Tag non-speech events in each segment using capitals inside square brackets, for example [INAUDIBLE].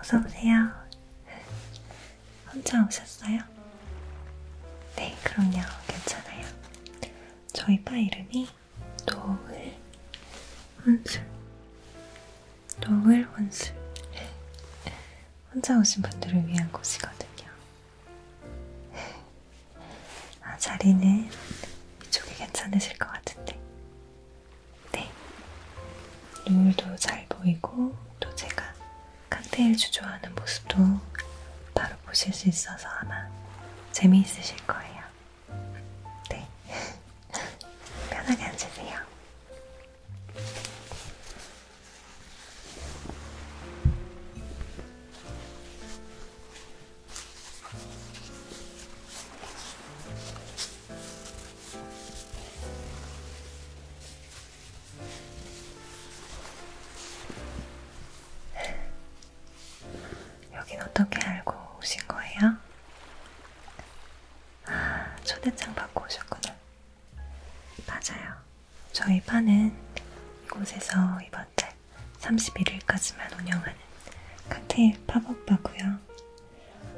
어서오세요. 혼자 오셨어요? 네, 그럼요. 괜찮아요. 저희 바 이름이 노을 혼술 노을 혼술 네. 혼자 오신 분들을 위한 곳이거든요 네. 아, 자리는 이쪽이 괜찮으실 것 같은데 네 노을도 잘 보이고 또 제가 칵테일 주조하는 모습도 바로 보실 수 있어서 아마 재미있으실 거예요 네. 편하게 앉으세요. 여긴 어떻게 알고 오신 거예요? 아, 초대장 받고 오셨구나. 맞아요. 저희 파는 이곳에서 이번 달 31일까지만 운영하는 칵테일 팝업 바고요.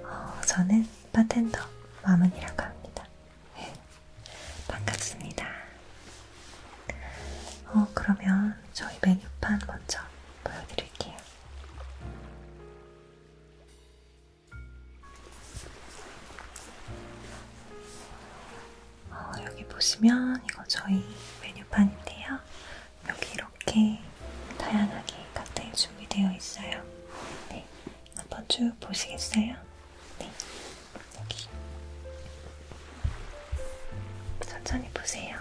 어, 저는 바텐더 마문이라고 합니다. [LAUGHS] 반갑습니다. 어, 그러면 저희 메뉴판 먼저 보여드릴게요. 어, 여기 보시면 이거 저희 메뉴판인데요. 여기 이렇게 다양하게 각도에 준비되어 있어요. 네, 한번 쭉 보시겠어요? 네, 여기. 천천히 보세요.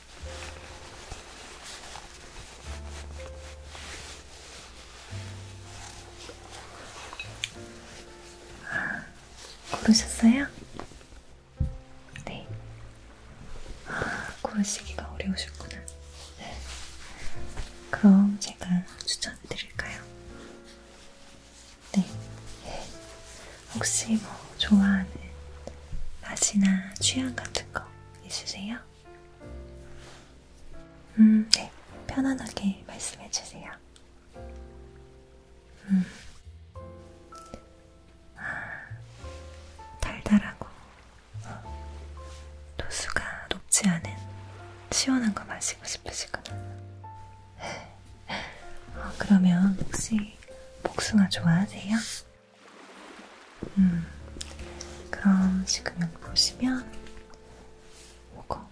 아, 고르셨어요? 네. 아, 고르시기가 어려우셨구나. 네. 그럼 제가 추천해 드릴까요? 네. 혹시 뭐 좋아하는 맛이나 취향 같은 거 있으세요? 음, 네. 편안하게 말씀해 주세요. 음. 아, 달달하고 어. 도수가 높지 않은 시원한 거 마시고 싶으시구나. [LAUGHS] 어, 그러면 혹시 복숭아 좋아하세요? 음, 그럼 지금 여기 보시면 이거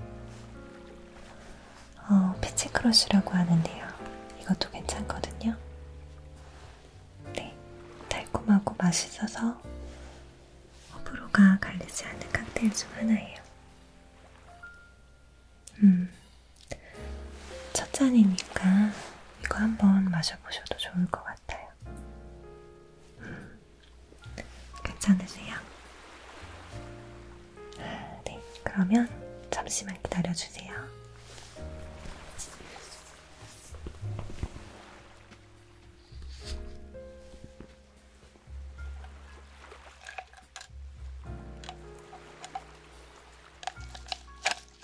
어, 패치크러쉬라고 하는데요. 이것도 괜찮거든요. 네, 달콤하고 맛있어서 호불호가 갈리지 않는 칵테일 중 하나예요. 음, 첫 잔이니까 이거 한번 마셔보셔도 좋을 것 같아요. 음. 괜찮으세요? 네, 그러면 잠시만 기다려주세요.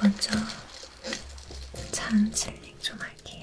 먼저 잔 칠링 좀 할게요.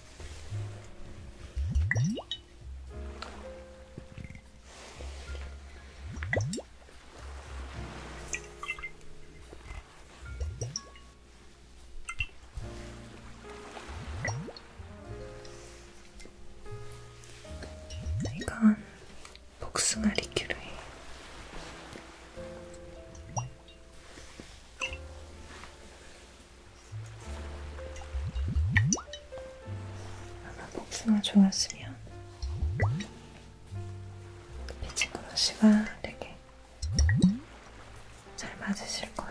이건 복숭아 리큐르예요. 아마 복숭아 좋았으면 피치코노 씨가 되게 잘 맞으실 거예요.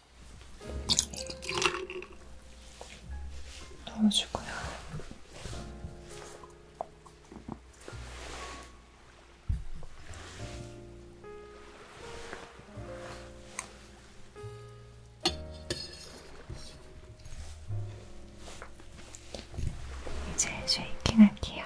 넣어주고요. 이제 쉐이킹 할게요.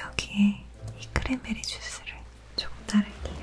여기에 이 크랜베리 주스를 조금 따를게요.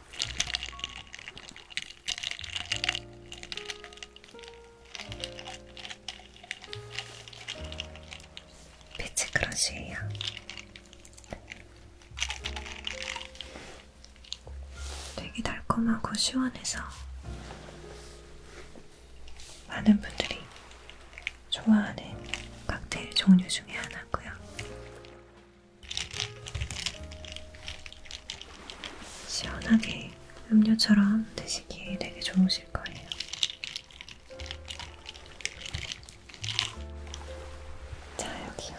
피치 크러쉬예요. 되게 달콤하고 시원해서 많은 분들이 좋아하는 칵테일 종류 중에 하나고요. 시원하게 음료처럼 드시기에 되게 좋으실 거예요. 자, 여기요.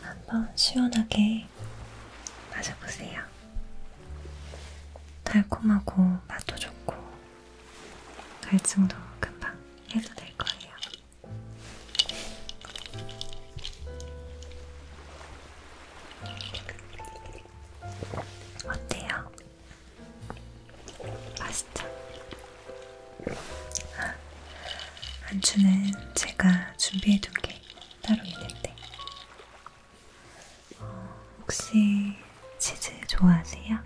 한번 시원하게 마셔보세요. 달콤하고 맛도 좋고 갈증도 금방 해도 될 거예요. 어때요? 맛있죠? 아, 안주는 제가 준비해둔 게 따로 있는데 어, 혹시 치즈 좋아하세요?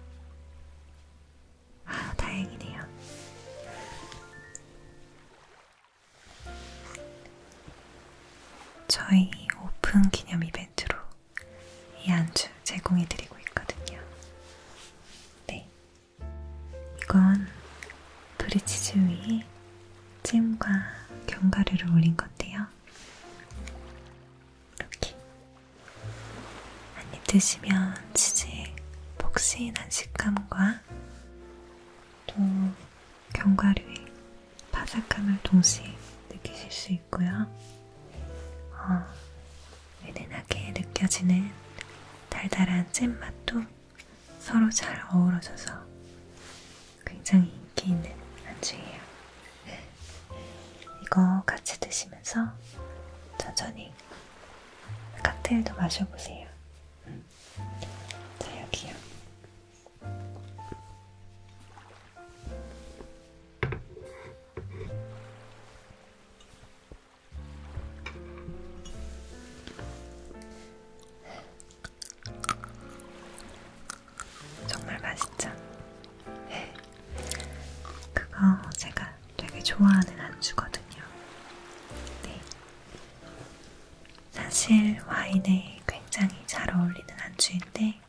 아, 다행이네요. 저희 오픈 기념 이벤트로 이 안주 제공해드리고 있거든요. 네. 이건 브리치즈 위에 찜과 견과류를 올린 건데요. 이렇게 한입 드시면 치즈의 폭신한 식감과 또 견과류의 바삭함을 동시에 느끼실 수 있고요. 어, 은은하게 느껴지는 달달한 잼맛도 서로 잘 어우러져서 굉장히 인기 있는 안주예요. 이거 같이 드시면서 천천히 칵테일도 마셔보세요. 음. 자, 여기요. 정말 맛있죠? 네. 그거 제가 되게 좋아하는 안주거든요. 네. 사실 와인에 굉장히 잘 어울리는 안주인데,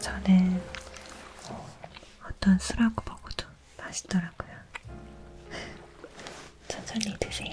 저는 어, 어떤 술하고 먹어도 맛있더라고요. [LAUGHS] 천천히 드세요.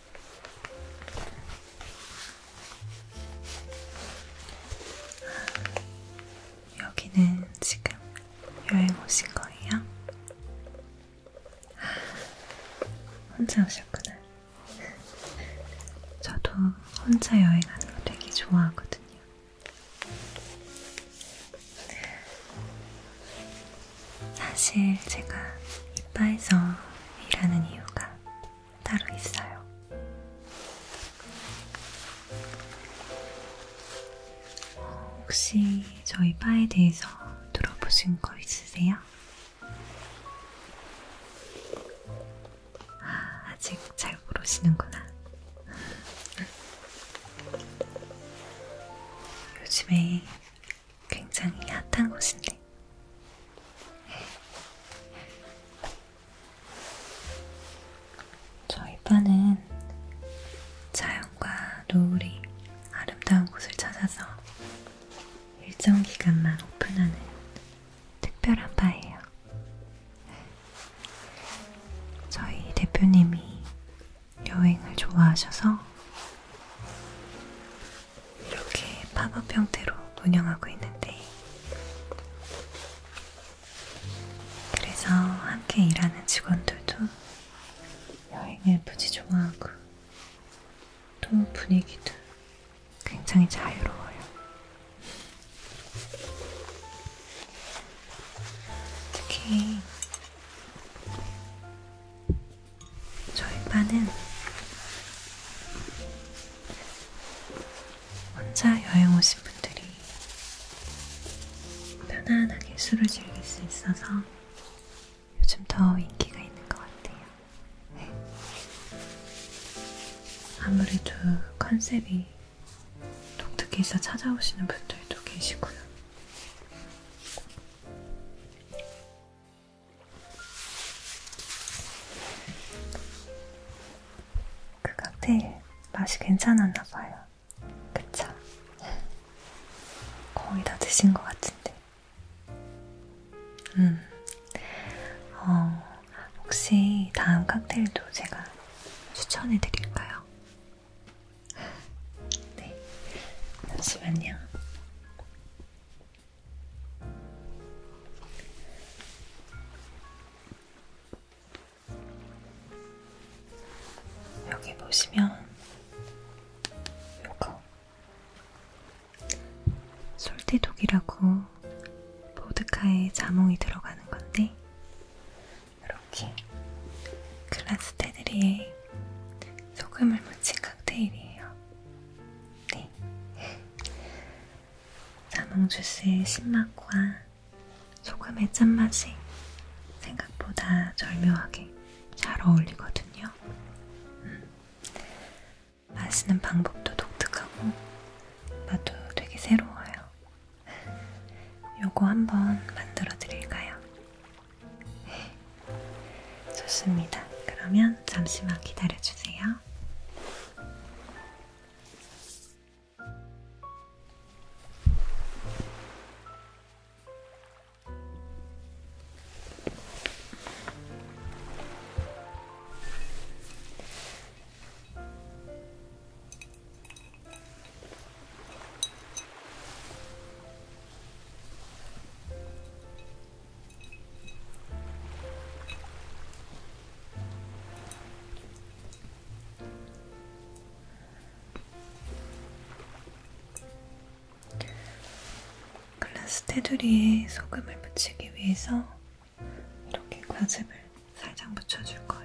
여기는 지금 여행 오신 거예요? 혼자 오셨구나. 저도 혼자 여행하는 거 되게 좋아하거든요. 사실 제가 이빠에서 일하는 이유가 따로 있어요. 혹시 저희 바에 대해서 들어보신 거 있으세요? 아, 아직 잘 모르시는구나. [LAUGHS] 요즘에 굉장히 핫한 곳인데. 저희 반은 자연과 노을이 아름다운 곳을 찾아서 일정 기간만 오픈하는 특별한 바예요. 저희 대표님이 여행을 좋아하셔서 이렇게 팝업 형태로 운영하고 있는데 그래서 함께 일하는 직원들도 여행을 무지 좋아하고 또 분위기도 굉장히 자유로워요. 특히 저희 반은 혼자 여행 오신 분들이 편안하게 술을 즐길 수 있어서 요즘 더 인기가 있는 것 같아요. 네. 아무래도 컨셉이 독특해서 찾아오시는 분들도 계시고요. 그 칵테일 맛이 괜찮았나 봐요. 그쵸? 거의 다 드신 것 같은데. 음. 어, 혹시 다음 칵테일도 제가 추천해 드릴까요? 네. 잠시만요. 여기 보시면 요거 솔티독이라고 보드카에 자몽이 들어가는 건데 이렇게 글라스 테두리에 소금을 묻힌 칵테일이에요. 네. 자몽 주스의 신맛과 소금의 짠맛이 생각보다 절묘하게 잘 어울리거든요. 음. 마시는 방법도 독특하고 맛도 되게 새로워요. 요거 한번 만들어 드릴까요? 좋습니다. 그러면 잠시만 기다려주세요. 글라스 테두리에 소금을 묻히기 위해서 이렇게 과즙을 살짝 묻혀줄 거예요.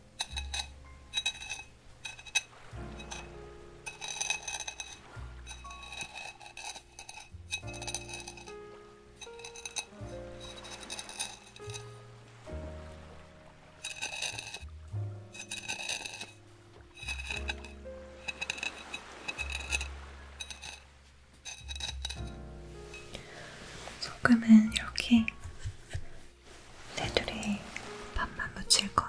소금은 이렇게 테두리에 반만 묻힐 거예요.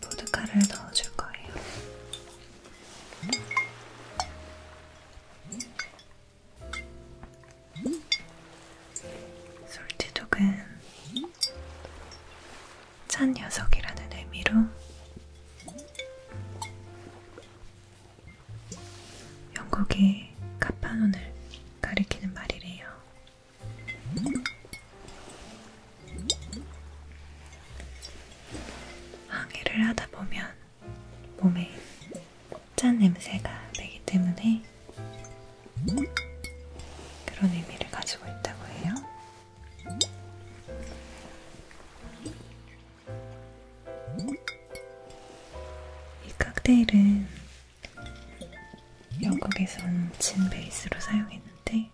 보드카를 넣어줄 거예요. 솔티독은 찬 녀석이라는 의미로 영국의 카파논을 가리키는 말이래요. 항해를 하다 보면 몸에 짠 냄새가 나기 때문에 그런 의미를 가지고 있다고 해요. 이 칵테일은 영국에선 진 베이스로 사용했는데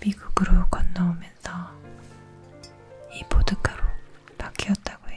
미국으로 건너오면서 이 보드카로 바뀌었다고 해요.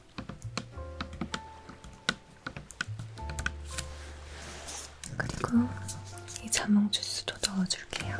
그리고 이 자몽 주스도 넣어줄게요.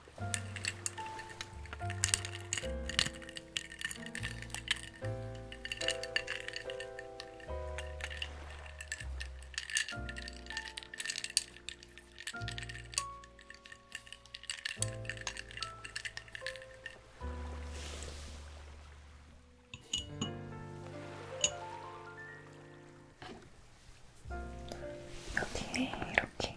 여기에 이렇게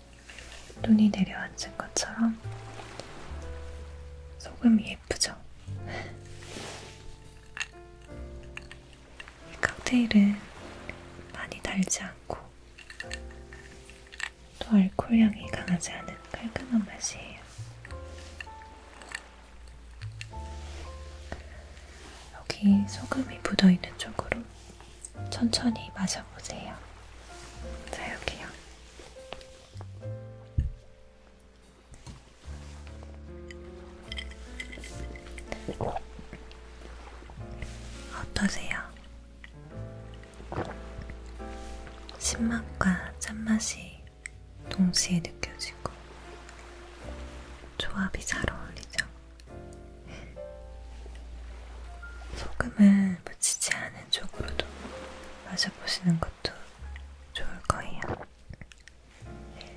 눈이 내려앉은 것처럼 소금이 예쁘죠? 이 칵테일은 많이 달지 않고 또 알코올 향이 강하지 않은 깔끔한 맛이에요. 여기 소금이 묻어있는 쪽으로 천천히 마셔보세요. 자, 여기요. 어떠세요? 신맛과 짠맛이 동시에 느껴지고 조합이 잘 어울리죠? [LAUGHS] 소금을 묻히지 않 하는 쪽으로도 마셔보시는 것도 좋을 거예요. 네.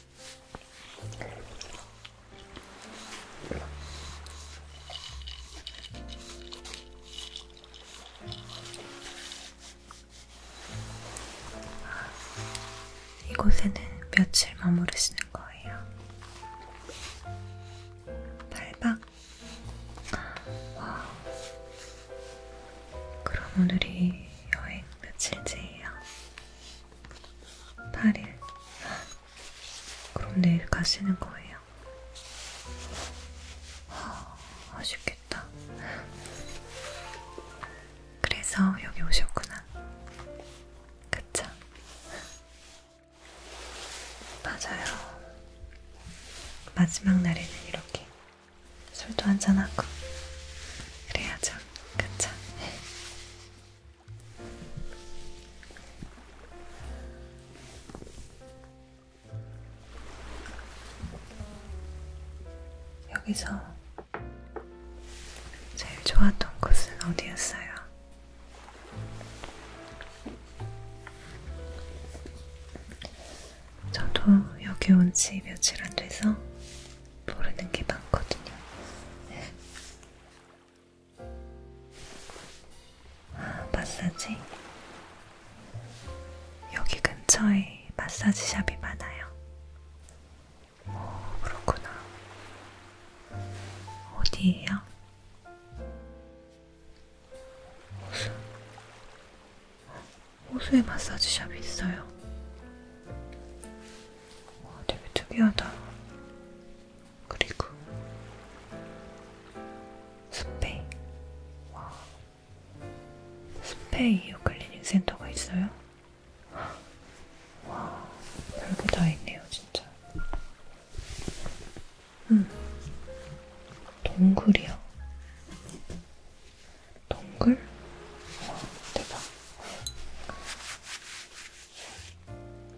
이곳에는 며칠 머무르시는 거예요? 8박? 와 그럼 오늘이 여행 며칠째예요? 8일. 그럼 내일 가시는 거예요? 아쉽겠다. 그래서 여기 오셨구나. 그쵸? 맞아요. 마지막 날에는 이렇게 술도 한잔하고 그래야죠. 그쵸? 여기서 제일 좋았던 곳은 어디였어요? 저도 여기 온 지 며칠 안 돼서 모르는 게 많거든요. 네. 아, 마사지? 여기 근처에 마사지 샵이 많아요. 오, 그렇구나. 어디예요? 호수. 호수에 마사지 샵이 있어요. 와, 되게 특이하다. 그리고 스페인. 와, 스페인 이어 클리닉 센터가 있어요? 와, 별게 다 있네요, 진짜. 음, 동굴이요. 동글? 와, 어, 대박.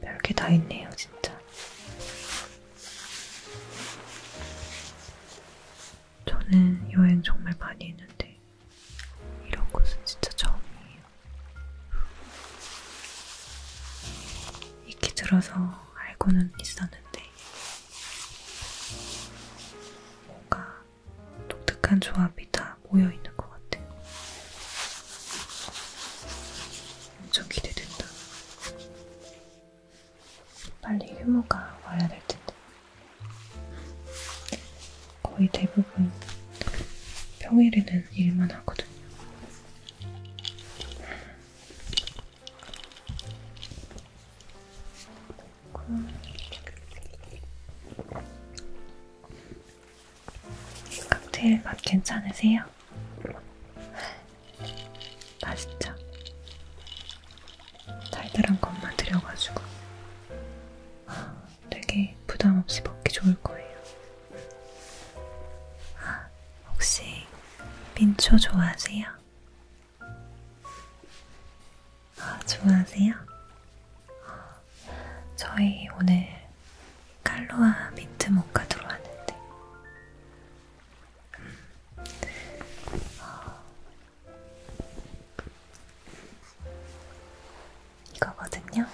별게 다 있네요, 진짜. 저는 여행 정말 많이 했는데, 이런 곳은 진짜 처음이에요. 익히 들어서 알고는 있었는데, 뭔가 독특한 조합이 다 모여있는 것 같아. 엄청 기대된다. 빨리 휴무가 와야 될 텐데. 거의 대부분 평일에는 일만 하거든요. 칵테일 맛 괜찮으세요? 맛있죠? 달달한 것만 들여가지고 되게 부담 없이 먹기 좋을 거예요. 혹시 민초 좋아하세요? 아, 좋아하세요? 저희 오늘 칼로아 민트 모카 들어왔는데 음. 이거거든요.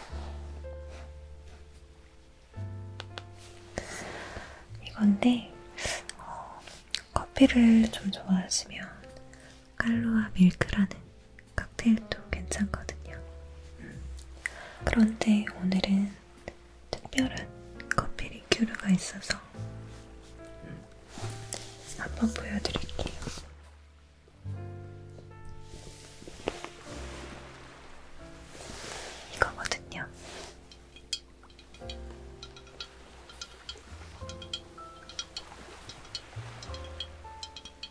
이건데 어, 커피를 좀 좋아하시면 칼로와 밀크라는 칵테일도 괜찮거든요. 음. 그런데 오늘은 특별한 커피 리큐르가 있어서 음. 한번 보여드릴게요. 이거거든요.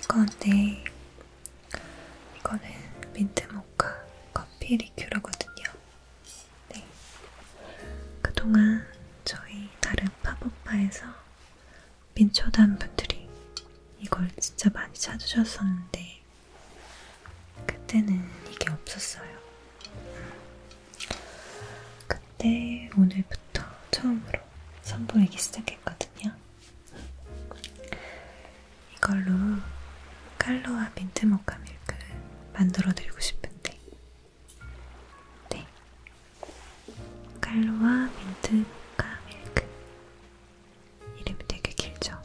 이건 네, 이거는 민트 모카 커피 리큐르거든요. 네, 그동안 저희 다른 팝업바에서 민초단 분들이 이걸 진짜 많이 찾으셨었는데 그때는 이게 없었어요. 음. 그때 네, 오늘부터 처음으로 선보이기 시작했거든요. 이걸로 칼로와 민트 모카 밀크를 만들어드리고 싶은데, 네, 칼로와 민트 모카 밀크 이름이 되게 길죠?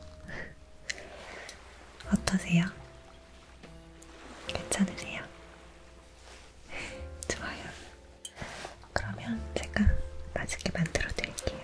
어떠세요? 괜찮으세요? [LAUGHS] 좋아요. 그러면 제가 맛있게 만들어 드릴게요.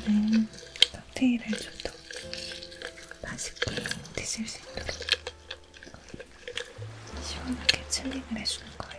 이번엔 칵테일을 좀더 맛있게 드실 수 있도록 시원하게 칠링을 해주는 거예요.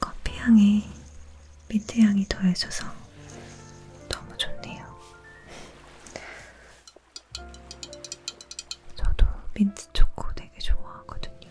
커피 향에 민트 향이 더해져서 너무 좋네요. 저도 민트 초코 되게 좋아하거든요.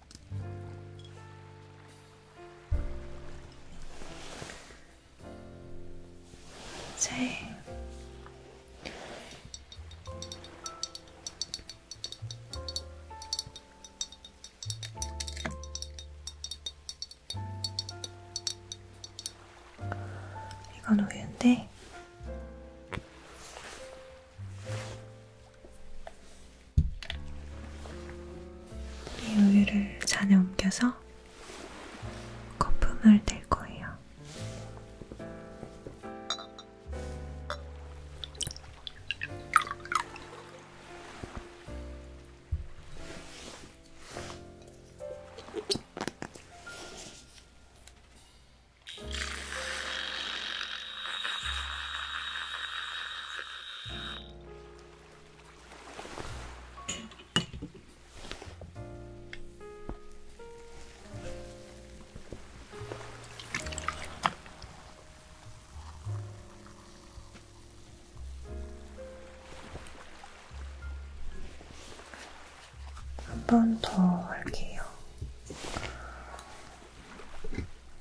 이제 이건 우유인데 이 우유를 잔에 옮겨서 거품을 낼 거예요. 한번더 할게요.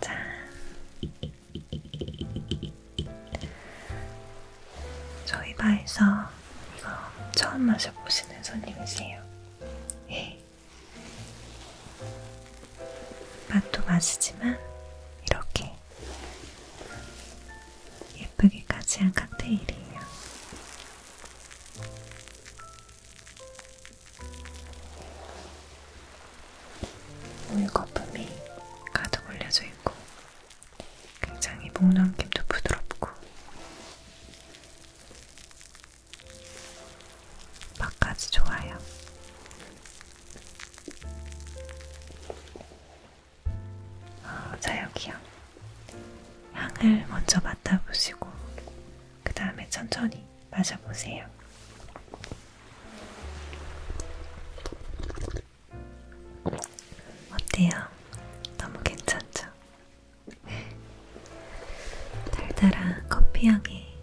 짠! 저희 바에서 이거 처음 마셔보시는 손님이세요. 예. 맛도 맛이지만 이렇게 예쁘게까지 한 칵테일이에요. 우유 거품이 가득 올려져 있고 굉장히 목넘김도 부드럽고 맛까지 좋아요. 어, 자 여기요. 향을 먼저 맡아보시고 그 다음에 천천히 마셔보세요. 어때요? 너무 괜찮죠? 달달한 커피향에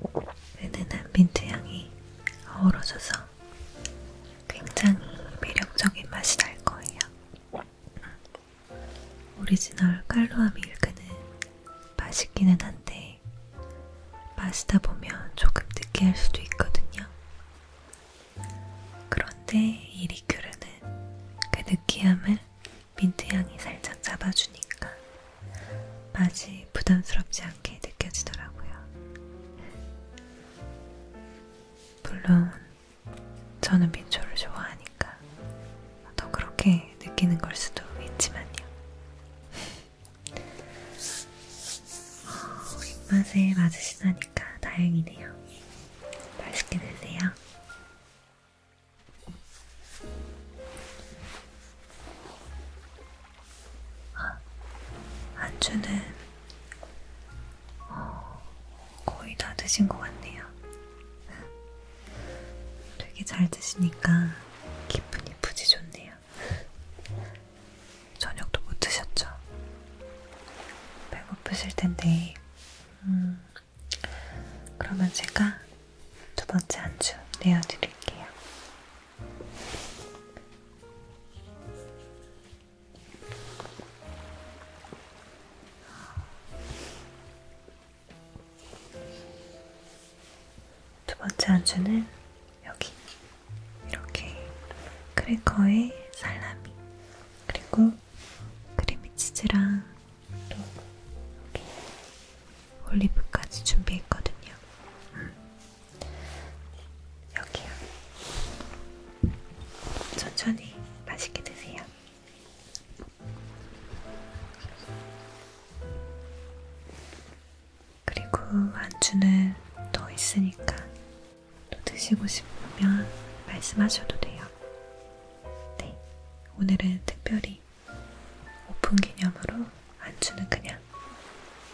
은은한 민트향이 어우러져서 굉장히 매력적인 맛이 날 거예요. 오리지널 칼로아 밀크는 맛있기는 한데 마시다 보면 조금 느끼할 수도 있거든요. 그런데 이 리큐르는 그 느끼함을 민트향이 살짝 잡아주니까 맛이 부담스럽지 않게 느껴지더라고요. 물론 저는 민초를 좋아하니까 더 그렇게 느끼는 걸 수도 있지만요. 어, 입맛에 맞으시다니까 다행이네요. 맛있게 드세요. 아, 안주는 어, 거의 다 드신 것 같네요. 되게 잘 드시니까 기분이 부지 좋네요. 저녁도 못 드셨죠? 배고프실 텐데, 음, 그러면 제가 두 번째 안주 내어드릴게요. 두 번째 안주는 여기 이렇게 크래커에 살라미 그리고 크리미치즈랑 또 이렇게 올리브까지 준비했거든요. 음. 여기요. 천천히 맛있게 드세요. 그리고 안주는 더 있으니까 또 드시고 싶으면 말씀하셔도 돼요. 네, 오늘은 특별히 오픈 기념으로 안주는 그냥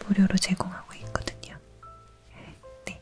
무료로 제공하고 있거든요. 네.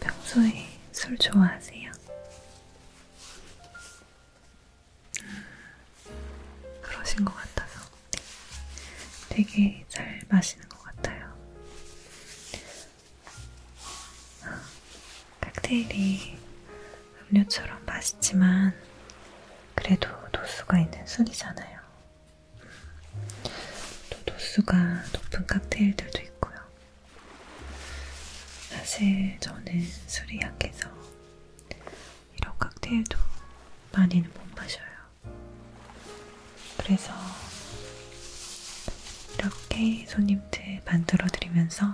평소에 술 좋아하세요? 그러신 것 같아서 되게 잘 마시는 것 같아요. 칵테일이 음료처럼 맛있지만 그래도 도수가 있는 술이잖아요. 또 도수가 높은 칵테일들도 있고요. 사실 저는 술이 약해서 이런 칵테일도 많이는 못 마셔요. 그래서 이렇게 손님들 만들어 드리면서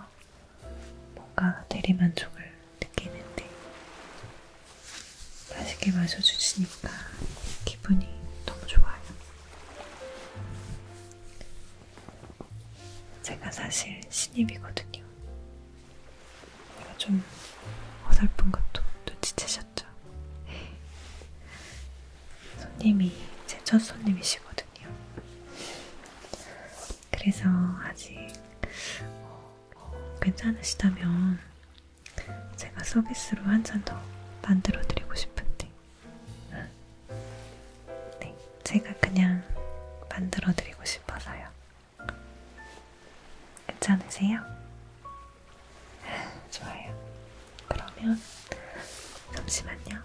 뭔가 대리만족을 느끼는데 맛있게 마셔주시니까 기분이 너무 좋아요. 제가 사실 신입이거든요. 제가 좀 어설픈 것도 눈치채셨 하셨죠? 손님이 제 첫 손님이시거든요. 그래서 아직 어, 어 괜찮으시다면 제가 서비스로 한 잔 더 만들어 드리고 싶은데 네, 제가 그냥 만들어 드리고 싶어서요. 괜찮으세요? 아, 좋아요. 그러면 잠시만요.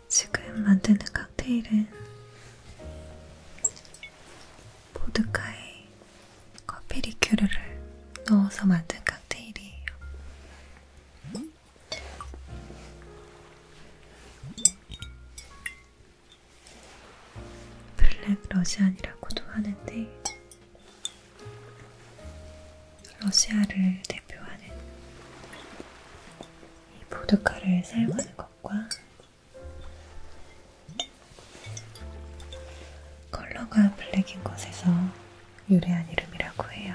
지금 만드는 칵테일은 보드카에 커피 리큐르를 넣어서 만든 칵테일이에요. 블랙 러시안이라고도 하는데 러시아를 대표하는 이 보드카를 사용하는 것 것과 컬러가 블랙인 것에서 유래한 이름이라고 해요.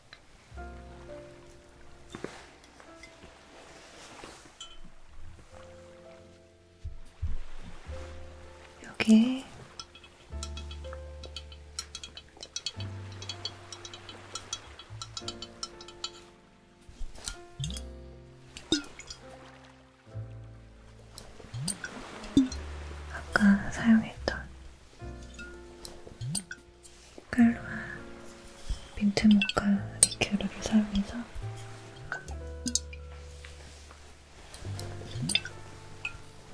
여기 아까 사용했던 칼로와 민트 모카 리큐르를 사용해서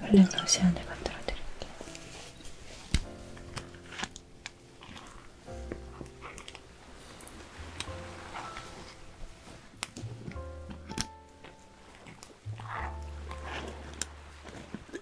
블랙 러시안을 만들어 드릴게요.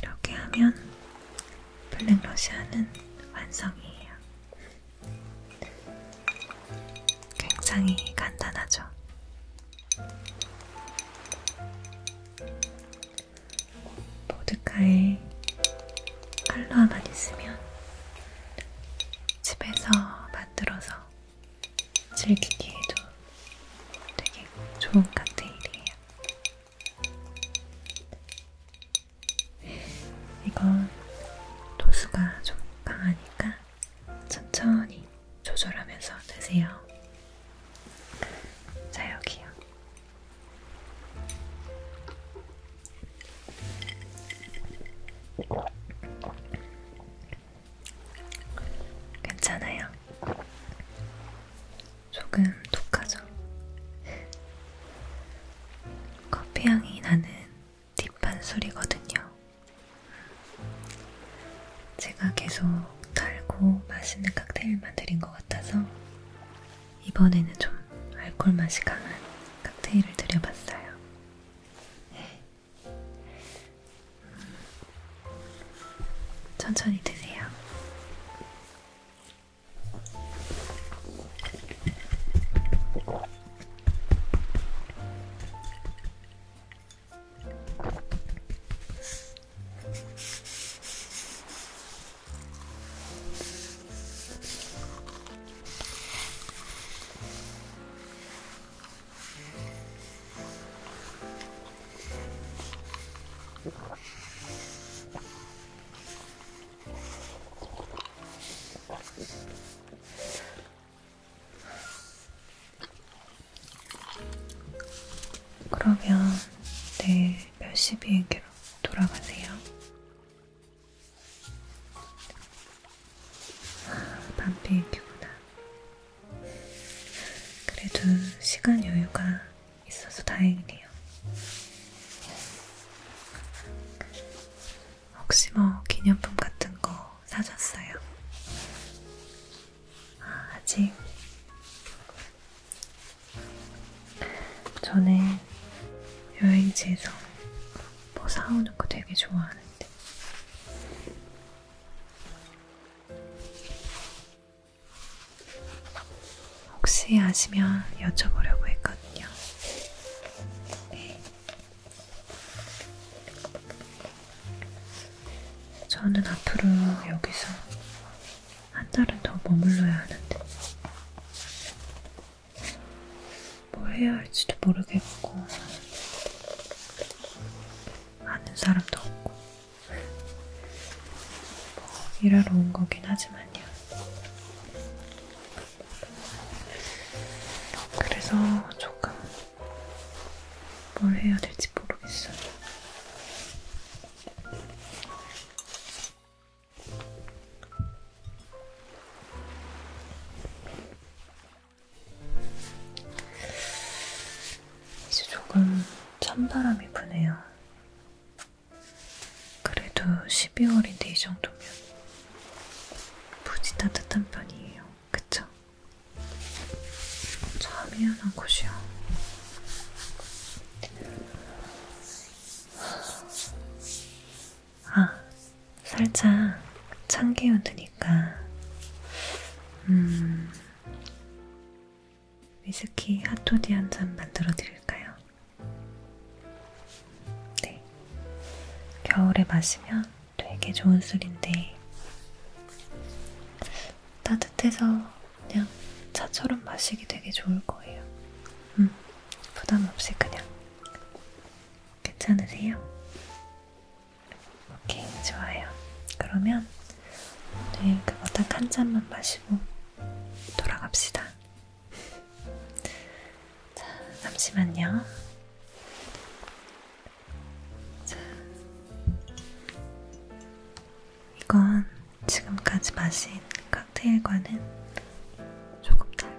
이렇게 하면 블랙 러시아는 완성이에요. 굉장히 간단하죠. 보드카에 칼로 하나 있으면 집에서 만들어서 즐기기에도 되게 좋은 칵테일이에요. 이건 도수가 좀 강하니까 천천히 조절하면서 드세요. 자, 여기요. 괜찮아요. 조금 독하죠? 커피향이 나는 딥한 술이거든요. 제가 계속 달고 맛있는 칵테일만 드린 것 같아서 이번에는 좀 알콜 맛이 강한 칵테일을 들여봤어요. 네. 음. 천천히 드세요. 그러면 내 네. 멸시 비행기로 돌아가세요. 아, 밤 비행기구나. 그래도 시간 여유가 있어서 다행이네요. 혹시 뭐 기념품 같은 거 사셨어요? 아, 아직 저는 여행지에서 뭐 사오는 거 되게 좋아하는데 혹시 아시면 여쭤보려고 했거든요. 네. 저는 앞으로 여기서 한 달은 더 머물러야 하는데 뭘 해야 할지도 모르겠고 아는 사람도 없고 뭐, 일하러 온 거긴 하지만요. 그래서 조금 뭘 해야 될지 모르겠어요. 이제 조금 찬바람이 부네요. 그래도 12월인데 이 정도면 부지 따뜻한 편이에요. 그쵸? 참 희한한 곳이요. 아, 살짝 찬 기운 드니까, 음, 위스키 핫토디 한 잔 만들어 드릴까요? 네. 겨울에 마시면 되게 좋은 술인데, 따뜻해서 그냥 차처럼 마시기 되게 좋을 거예요. 음. 부담 없이 그냥 괜찮으세요? 오케이 좋아요. 그러면 오늘 그거 딱 한 잔만 마시고 돌아갑시다. 자 잠시만요. 자 이건 지금까지 마신 칵테일과는 조금 달라요.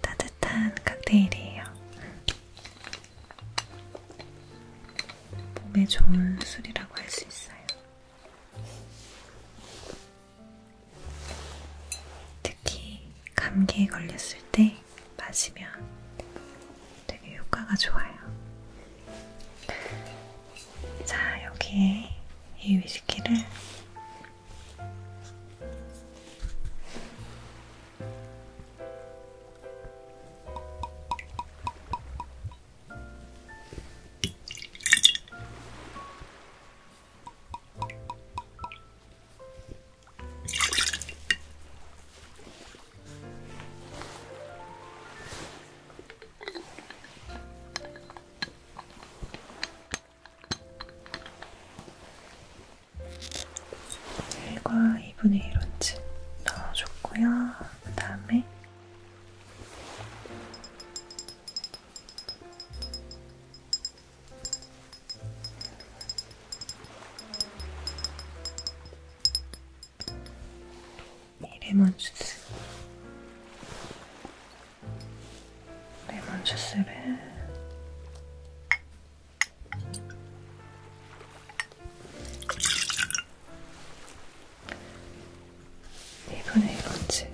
따뜻한 칵테일이에요. 몸에 좋은 술이라고 할 수 있어요. 특히 감기에 걸렸을 때 마시면 되게 효과가 좋아요. 자, 여기에 이 위스키를 1과 2분의 1원치 넣어줬고요. 그 다음에 네, 레몬주스 레몬주스를 이분의 이런지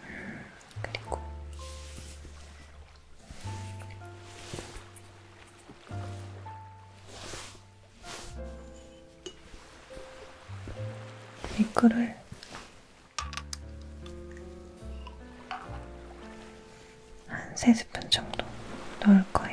음, 그리고 댓글을 한 3스푼 정도 넣을 거예요.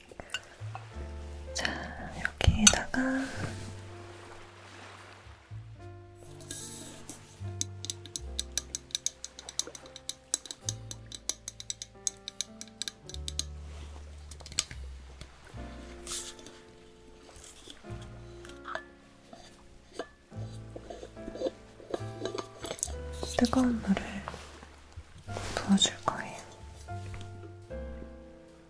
자, 여기에다가 뜨거운 물을 부어줄 거예요.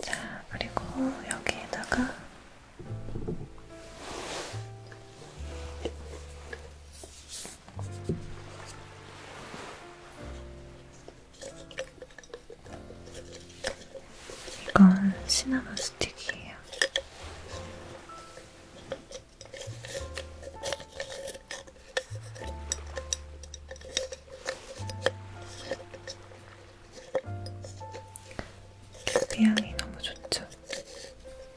자, 그리고 여기에다가 이건 시나몬 스틱이에요. 비향이 그 너무 좋죠.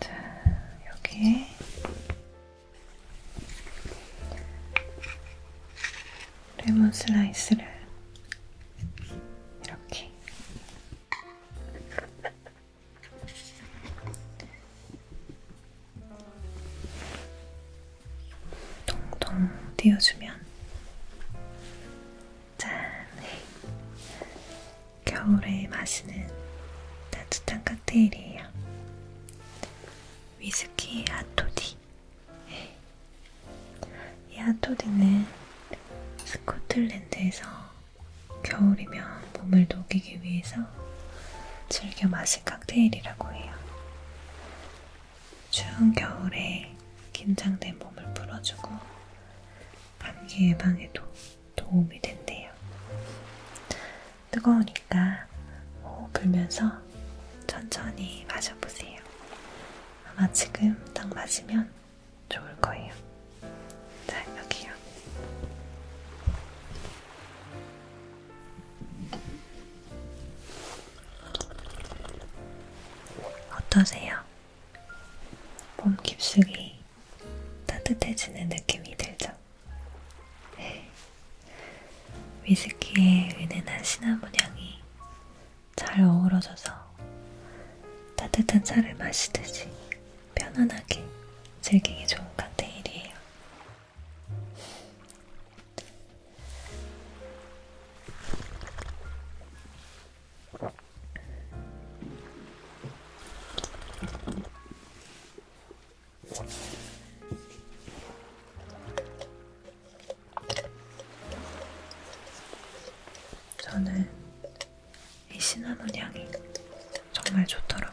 자, 여기에 레몬 슬라이스를 이렇게 동동 띄워주면 짠! 겨울에 마시는 따뜻한 칵테일이에요. 위스키 핫토디. 이 핫토디는 스코틀랜드에서 겨울이면 몸을 녹이기 위해서 즐겨 마신 칵테일이라고 해요. 추운 겨울에 긴장된 몸을 풀어주고 감기 예방에도 도움이 된대요. 뜨거우니까 호흡 불면서 천천히 마셔보세요. 아마 지금 딱 마시면 좋을 거예요. 자, 여기요. 어떠세요? 몸 깊숙이 따뜻해지는 느낌이 들죠? 네. 위스키의 은은한 시나몬 향이 잘 어우러져서 따뜻한 차를 마시듯이 편안하게 즐기기 좋은 칵테일이에요. 저는 이 시나몬 향이 정말 좋더라고요.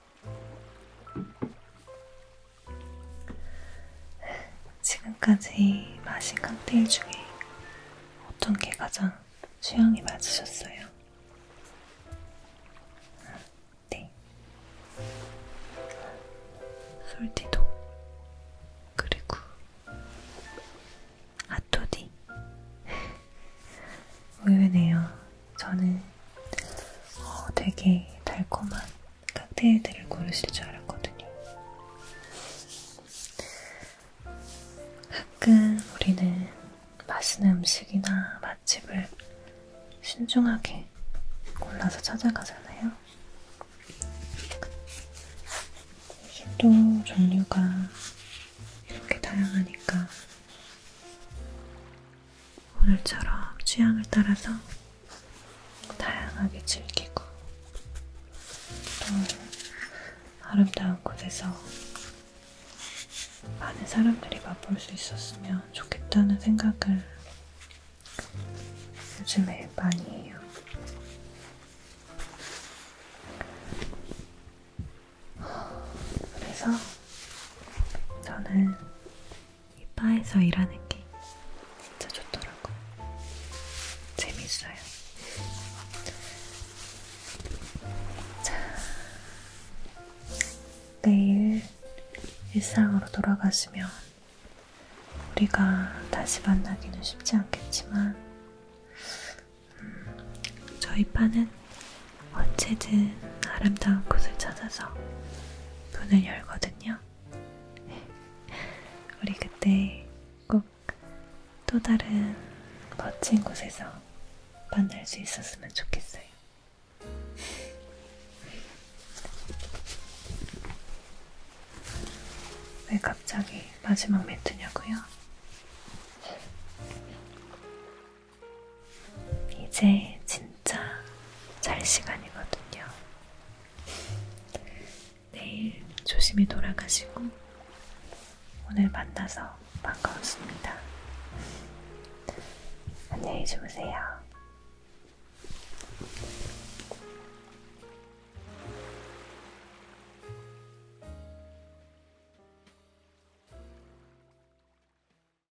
지금까지 마신 칵테일 중에 어떤 게 가장 취향이 맞으셨어요? 네. 솔티도 그리고 아토디 의외네요. 저는 어, 되게 달콤한 칵테일들을 고르실 줄 알았거든요. 가끔 우리는 맛있는 음식이나 맛집을 신중하게 골라서 찾아가잖아요. 이게 또 종류가 이렇게 다양하니까 오늘처럼 취향을 따라서 다양하게 즐기고 또 아름다운 곳에서 많은 사람들이 맛볼 수 있었으면 좋겠다는 생각을 요즘에 많이 해요. 그래서 저는 이 바에서 일하는 게 진짜 좋더라고. 재밌어요. 자, 내일 일상으로 돌아가시면 우리가 다시 만나기는 쉽지 않겠지만 음, 저희 파는 언제든 아름다운 곳을 찾아서 문을 열거든요. [LAUGHS] 우리 그때 꼭 또 다른 멋진 곳에서 만날 수 있었으면 좋겠어요. [LAUGHS] 왜 갑자기 마지막 멘트냐고요? 이제 진짜 잘 시간이거든요. 내일 조심히 돌아가시고 오늘 만나서 반가웠습니다. 안녕히 주무세요.